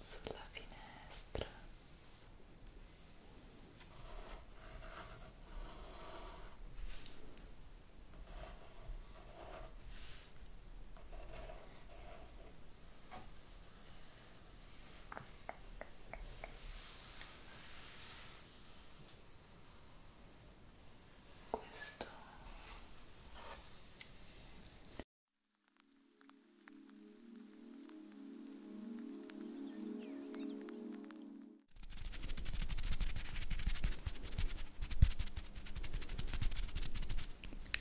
sulla finestra questo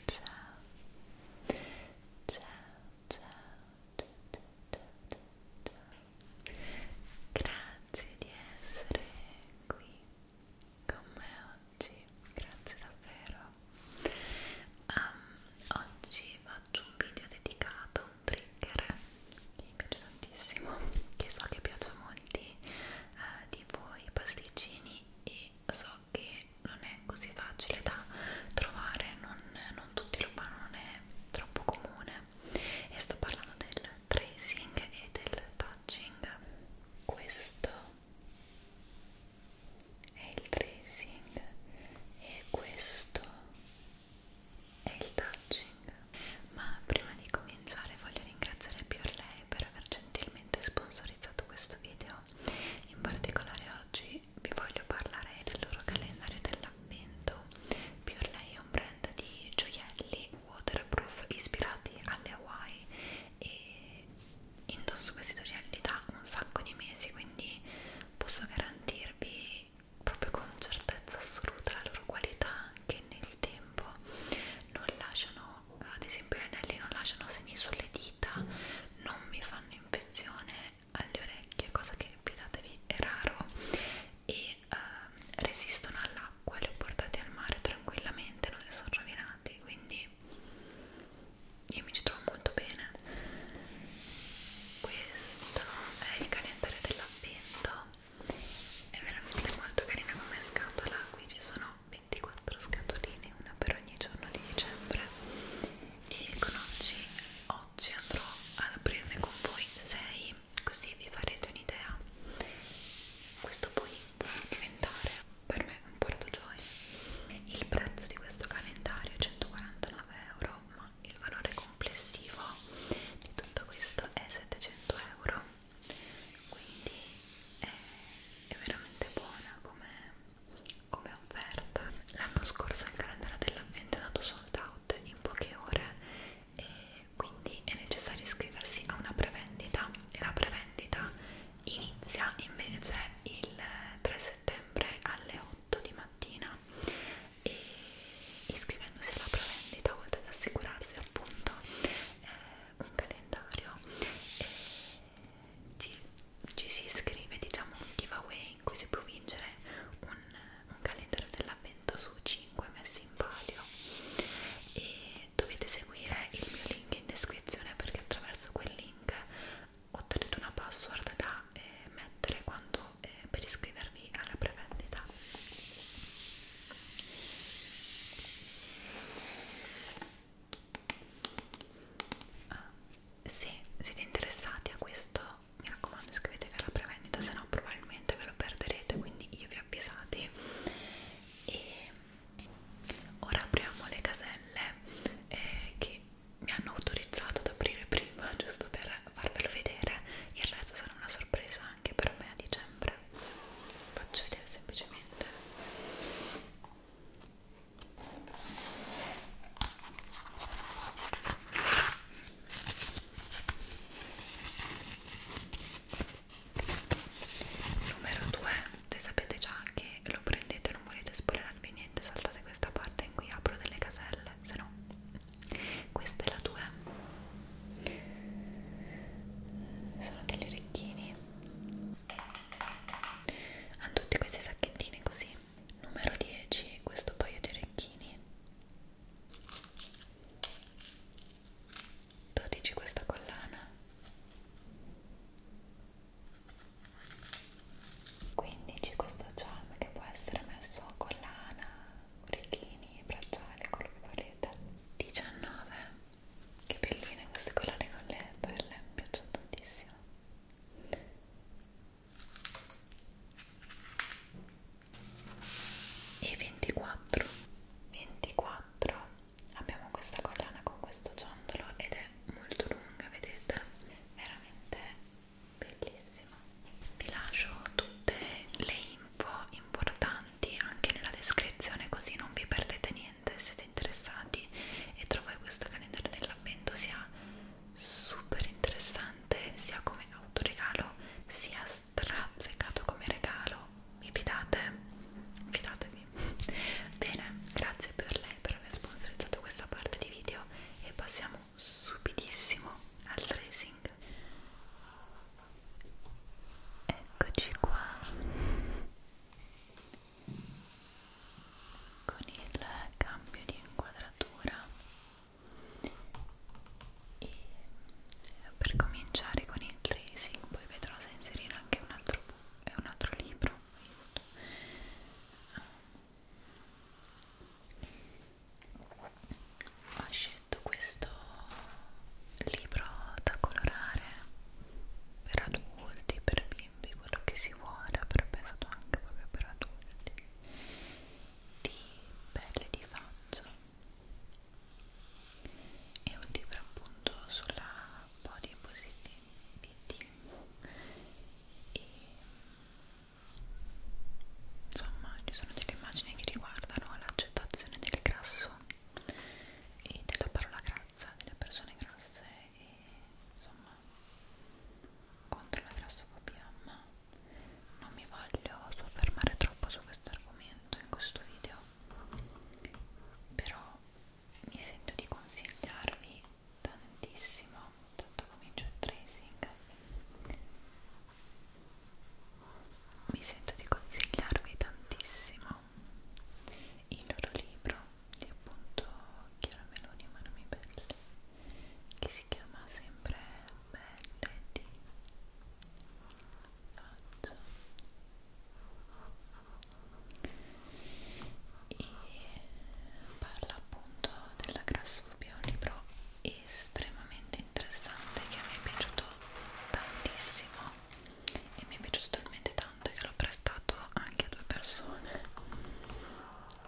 ciao ciao ciao ciao ciao ciao ciao grazie di essere qui con me oggi, grazie davvero. Um, oggi faccio un video dedicato a un trigger che mi piace tantissimo, che so che piace a molti eh, di voi pasticcini e so che non è così facile da trovare, non, non tutti lo fanno, non è troppo comune e sto parlando del tracing e del touching questo è il tracing e questo è il touching ma prima di cominciare voglio ringraziare Piorlei per aver gentilmente sponsorizzato questo video in particolare oggi vi voglio parlare del loro calendario dell'avvento Piorlei è un brand di gioielli waterproof ispirati alle Hawaii e indosso questi gel da un sacco di mesi quindi posso garantirvi proprio con certezza assoluta la loro qualità anche nel tempo non lasciano ad esempio gli anelli non lasciano segni sulle dita non mi fanno infezione alle orecchie cosa che fidatevi è raro e ehm, resistono all'acqua acqua li ho portati al mare tranquillamente non si sono rovinati quindi io mi ci trovo molto bene questo è il calendario dell'avvento è veramente molto carina come scatola qui ci sono 24 scatoline una per ogni giorno di dicembre e con oggi, oggi andrò ad aprirne con voi 6 così vi farete un'idea questo poi può diventare per me un porto gioia. Il prezzo di questo calendario è 149 euro, ma il valore complessivo di tutto questo è 700 euro. Quindi è, è veramente buona come, come offerta. L'anno scorso il calendario dell'ambiente è andato sold out in poche ore e quindi è necessario iscriversi a una prevendita e la prevendita inizia invece il 3 settembre alle 8 di mattina e iscrivendosi alla prevendita oltre ad assicurarsi appunto eh, un calendario eh, ci, ci si iscrive diciamo un giveaway in cui si può vincere un, un calendario dell'avvento su 5 messi in palio e dovete seguire il mio link in descrizione perché attraverso quel link ottenete una password da eh, mettere quando, eh, per iscrivervi alla prevendita ah, se siete interessati a questo mi raccomando iscrivetevi alla prevendita se no probabilmente ve lo perderete quindi io vi avvisate e ora apriamo le caselle eh, che mi hanno autorizzato ad aprire prima giusto per farvelo vedere il resto sarà una sorpresa anche per me a dicembre faccio vedere semplicemente numero 2 se sapete già che lo prendete non volete spoilerarvi niente saltate questa parte in cui apro delle caselle se no questa è la 2 sono degli orecchini hanno tutti questi sacchettini così numero 10 questo paio di orecchini 12 questa collana 15 questo charm che può essere messo a collana, orecchini, bracciali, quello che volete 19 che belline queste collane con le perle, mi piacciono tantissimo e 24 24 abbiamo questa collana con questo ciondolo ed è molto lunga vedete veramente bellissima vi lascio tutte le info importanti anche nella descrizione così non vi perdete niente siete interessati e trovate questo calendario dell'avvento sia super interessante sia come autoregalo sia strazzecato come regalo mi fidate? Fidatevi. Bene, grazie per lei per aver sponsorizzato questa parte di video e passiamo subitissimo al tracing. Eccoci qua con il cambio di inquadratura e per cominciare con il il tracing poi vedrò se inserire anche un altro, eh, un altro libro ho scelto questo libro da colorare per adulti, per bimbi, quello che si vuole, però pensato anche proprio per adulti di pelle di faggio è un libro appunto sulla body positivity e insomma ci sono delle immagini che riguardano l'accettazione del grasso e della parola grassa, delle persone grasse e insomma contro la grassofobia ma non mi voglio soffermare troppo su questo argomento in questo video però mi sento di consigliarvi tantissimo tanto comincio il tracing mi sento di consigliarvi tantissimo il loro libro di appunto Chiara Meloni Manomi Belle che si chiama sempre Belle di faccia e parla appunto della grassofobia un libro estremamente interessante che mi è piaciuto tantissimo e mi è piaciuto talmente tanto che l'ho prestato anche a due persone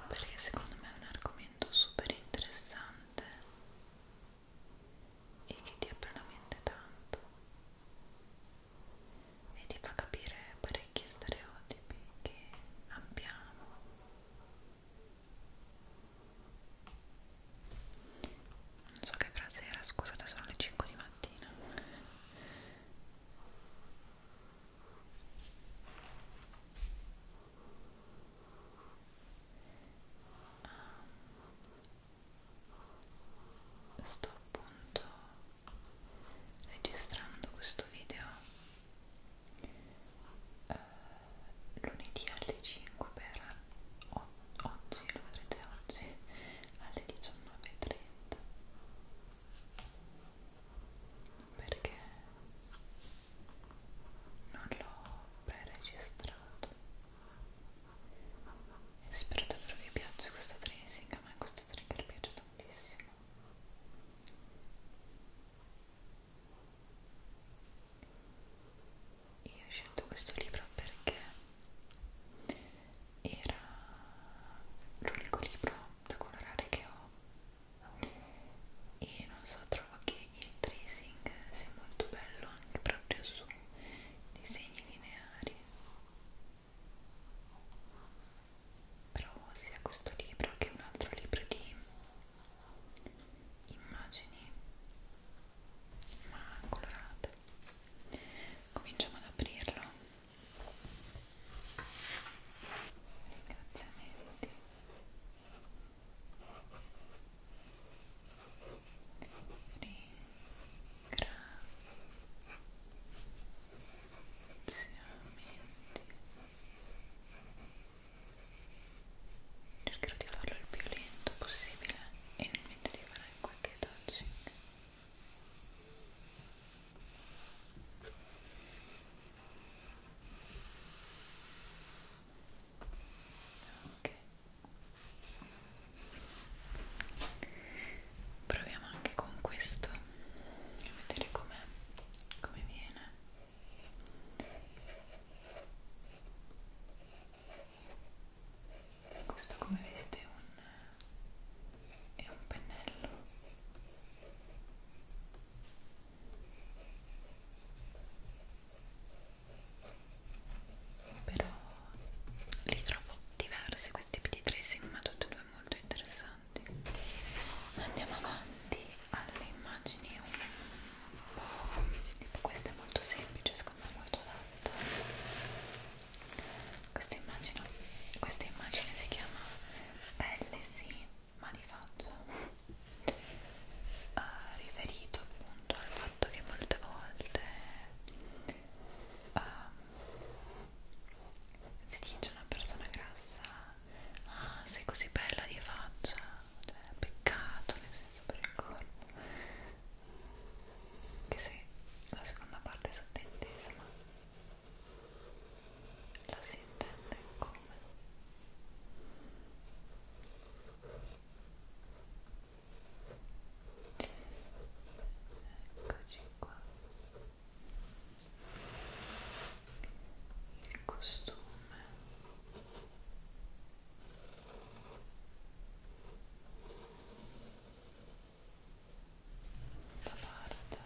perché secondo me è un argomento super interessante e che ti apre la mente tanto e ti fa capire parecchi stereotipi che abbiamo non so che frase era, scusate sono le 5 di mattina sto appunto registrando questo video eh, lunedì alle 5 per oggi, lo vedrete oggi alle 19.30 perché non l'ho pre-registrato spero davvero vi piaccia questo tracing a me questo trigger piace tantissimo io ho scelto questo libro perché era l'unico libro da colorare che ho e non so trovo che il tracing sia molto bello anche proprio su disegni lineari però sia questo libro che un altro libro di immagini ma colorate cominciamo ad aprirlo ringraziamenti cercherò di farlo il più lento possibile e nel mentre di fare qualche touching ok proviamo anche con questo a vedere com'è come viene questo come vedete è un, è un pennello però li trovo diversi questi tipi di tracing ma tutti e due molto interessanti andiamo avanti alle immagini un po' tipo questa è molto semplice secondo me molto adatta questa immagine, questa immagine si chiama pelle sì ma di faccia uh, riferito appunto al fatto che molte volte um, si dice una persona grassa ah sei così bella di faccia cioè, peccato nel senso per il corpo che se la seconda parte è sottintesa ma la si intende come Eccoci qua. Il costume. Da parte.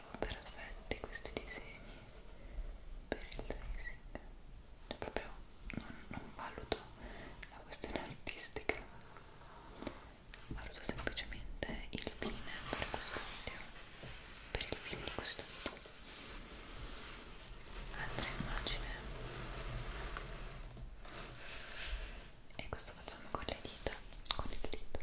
trovo perfetti questi disegni per il tracing cioè proprio non, non valuto la questione artistica valuto semplicemente il fine per questo video per il fine di questo video altra immagine e questo facciamo con le dita con il dito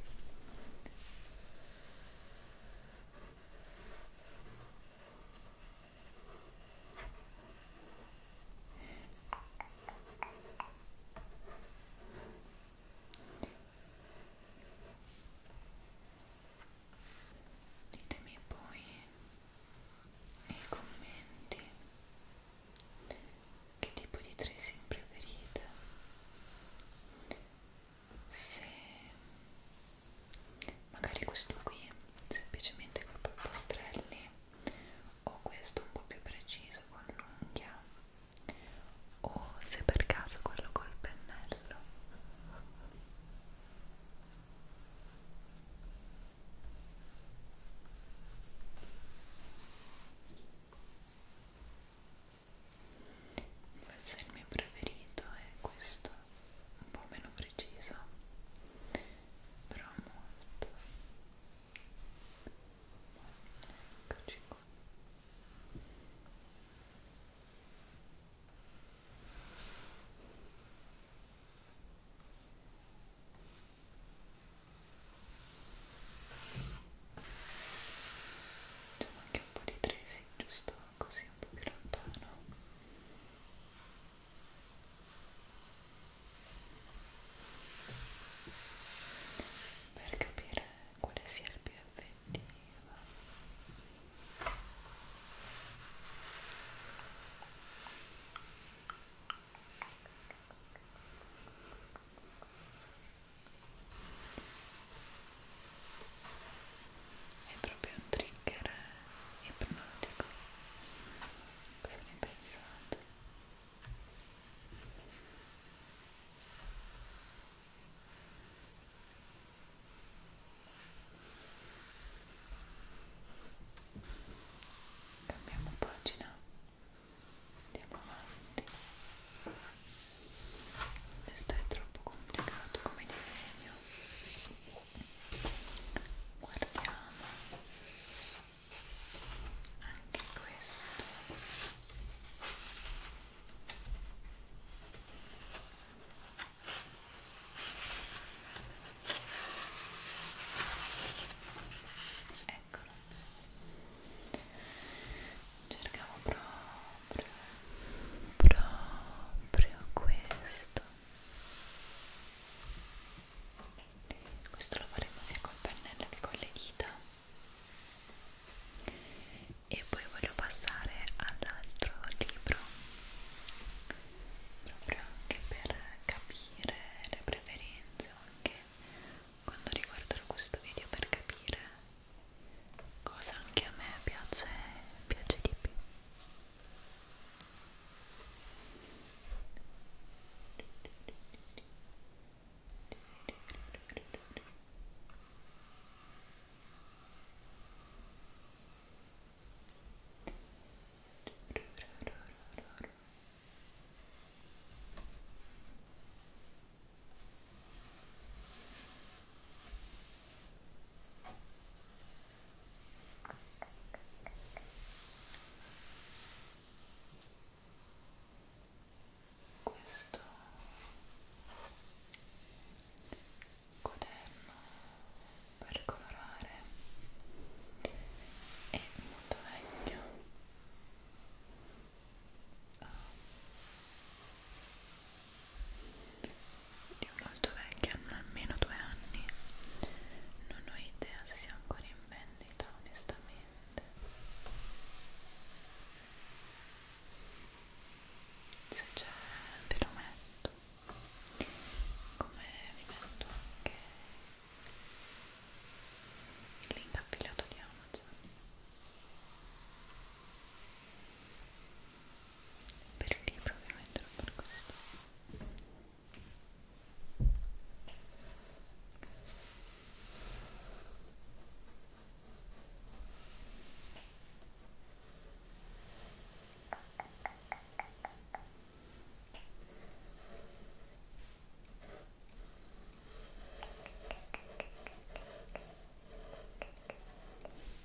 Ditemi poi nei commenti che tipo di tracing preferite se magari questo qui semplicemente con i pastrelli o questo un po' più preciso con l'unghia o se per caso quello col pennello forse il mio preferito è questo un po' meno preciso però molto eccoci qua Facciamo anche un po' di tracing, giusto? così un po' più lontano per capire quale sia il più effettivo è proprio un trigger ipnotico cosa ne pensate? Cambiamo pagina, andiamo avanti questo è troppo complicato come disegno guardiamo anche questo eccolo cercavo proprio proprio questo questo lo faremo sia col pennello che con le dita e poi voglio passare all'altro libro proprio anche per capire le preferenze anche quando riguardo questo video per capire cosa anche a me piace, piace di più questo quaderno per colorare è molto vecchio ha è molto vecchia, hanno almeno due anni non ho idea se sia ancora in vendita onestamente se c'è ve lo metto come vi metto anche il link affiliato di Amazon per il libro ovviamente non per questo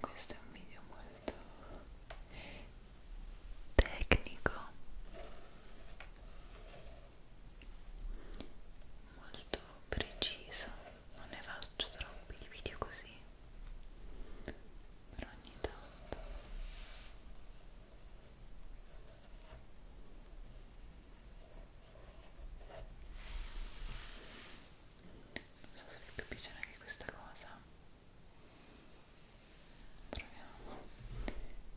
questo è un video molto tecnico molto preciso non ne faccio troppi di video così per ogni tanto non so se vi è più piacerà anche questa cosa proviamo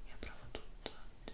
io provo tutto oggi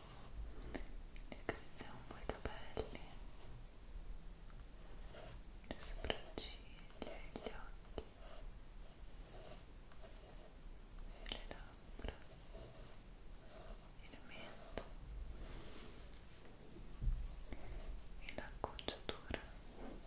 Ricarezziamo un po' i capelli, le sopracciglia, gli occhi, le labbra, il mento e l'acconciatura. Ora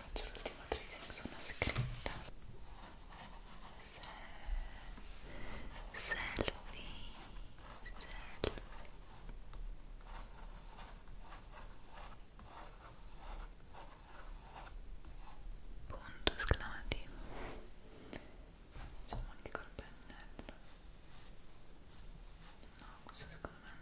faccio l'ultimo tracing su una scritta se, se lo vi se lo vi punto esclamativo facciamo anche col pennello no questo secondo me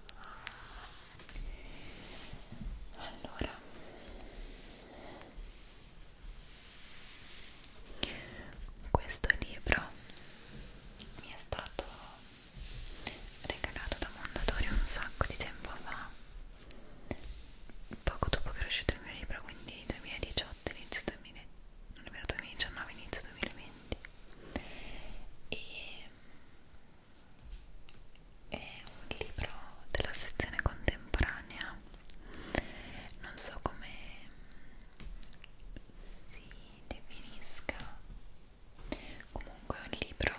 allora questo libro mi è stato regalato da Mondadori un sacco di tempo fa poco dopo che è uscito il mio libro quindi 2018 inizio 2019 inizio 2020 e è un libro della sezione contemporanea non so come si definisca comunque è un libro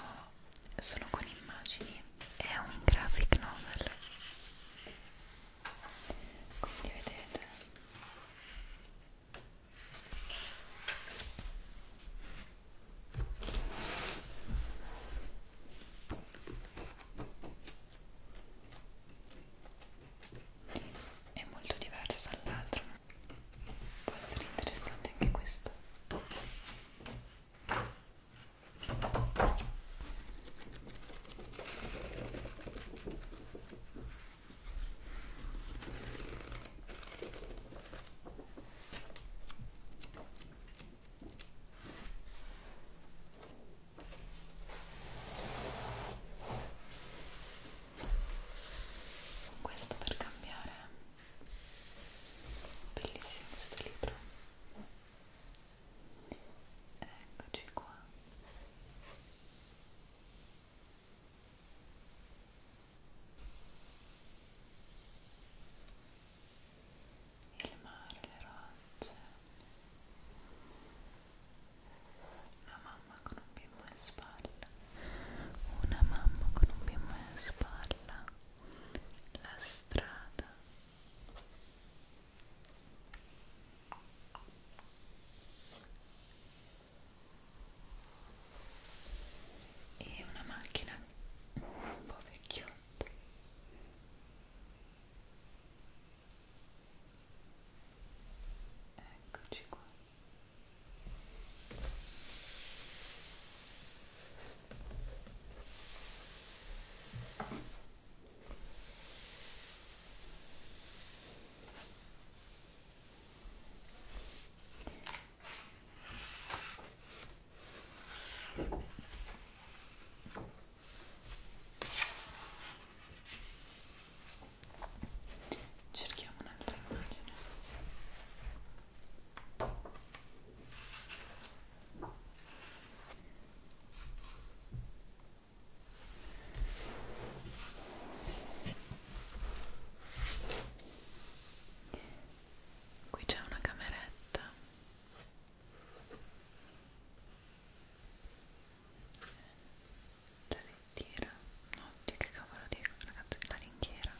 solo con immagini è un graphic novel quindi vedete è molto diverso dall'altro può essere interessante anche questo questo per cambiare. Bellissimo questo libro. Eccoci qua il mare, le rocce una mamma con un bimbo in spalla una mamma con un bimbo in spalla la strada e una macchina un po' vecchiotta eccoci qua Cerchiamo un'altra immagine qui c'è una cameretta la lettiera no di che cavolo dico ragazzi la ringhiera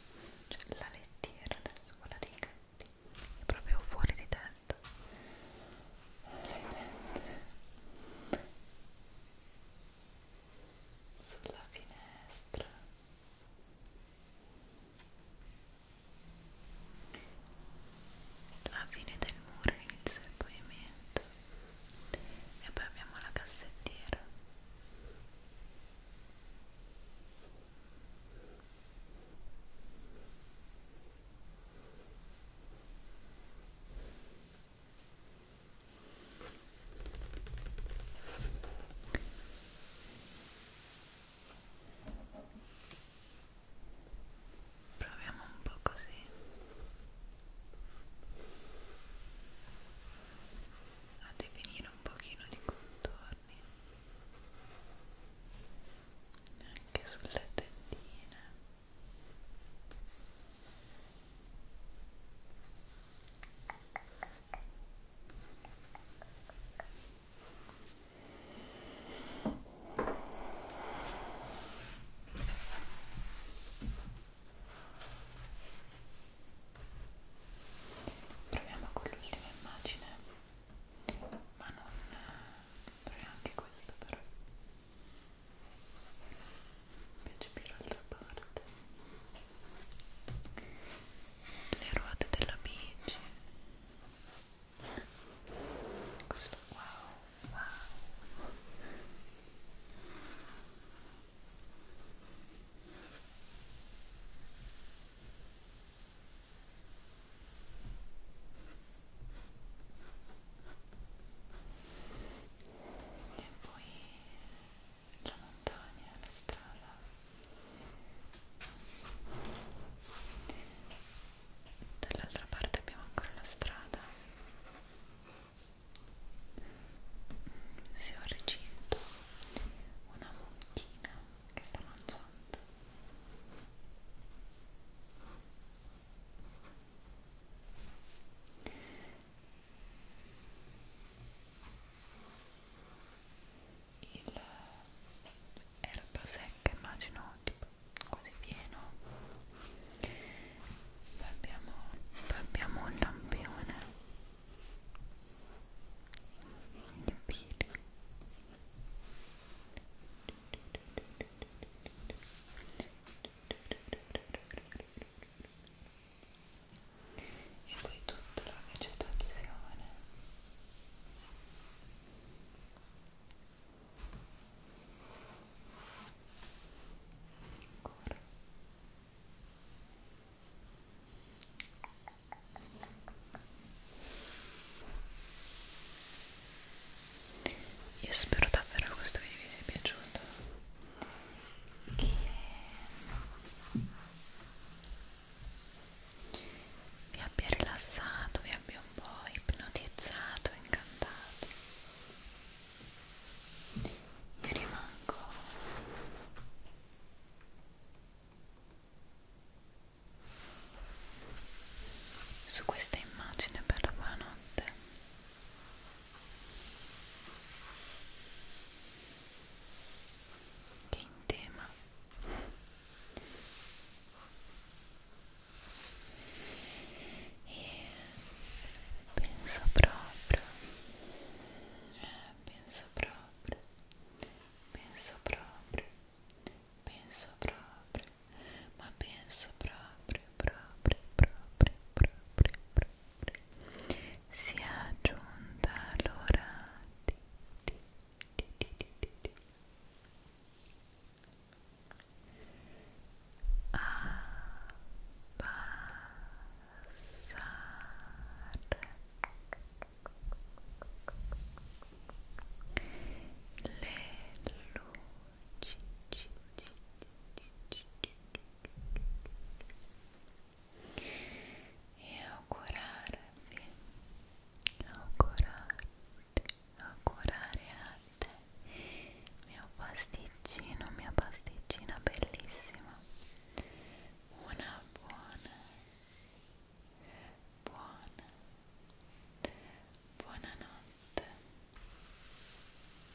cioè la lettiera adesso quella dei gatti è proprio fuori di tetto le tette sulla finestra la fine del muro inizia il pavimento e poi abbiamo la cassettiera Proviamo un po' così. A definire un pochino di contorni anche sulle tendine. Proviamo con l'ultima immagine, ma non eh, proviamo anche questo però invece più l'altra parte le ruote della bici questo wow wow e poi la montagna, la strada dall'altra parte abbiamo ancora la strada si ho recinto una mucchina che sta mangiando il erba secca immagino tipo quasi pieno poi abbiamo, poi abbiamo un lampione il pino e poi tutta la vegetazione ancora io spero davvero che questo video vi sia piaciuto che vi abbia rilassato, vi abbia un po' ipnotizzato, incantato. Io rimango su questa immagine per la buonanotte Quem tema? E é, penso próprio, é, penso próprio, penso próprio, penso próprio, mas penso próprio, próprio, próprio, próprio, próprio. si è giunta l'ora di, di, di, di, di, di, di. abbassare le luci ci, ci, ci, ci, ci, ci, ci e augurarvi, augurarti, augurare a te, mio pasticcino, mia pasticcina bellissima, una buona, buona, buonanotte.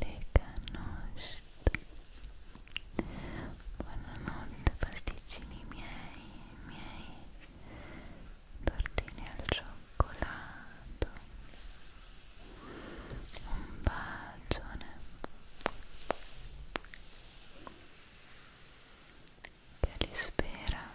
Lega Nost Buonanotte pasticcini miei, miei Tortini al cioccolato Un bacione Che li spera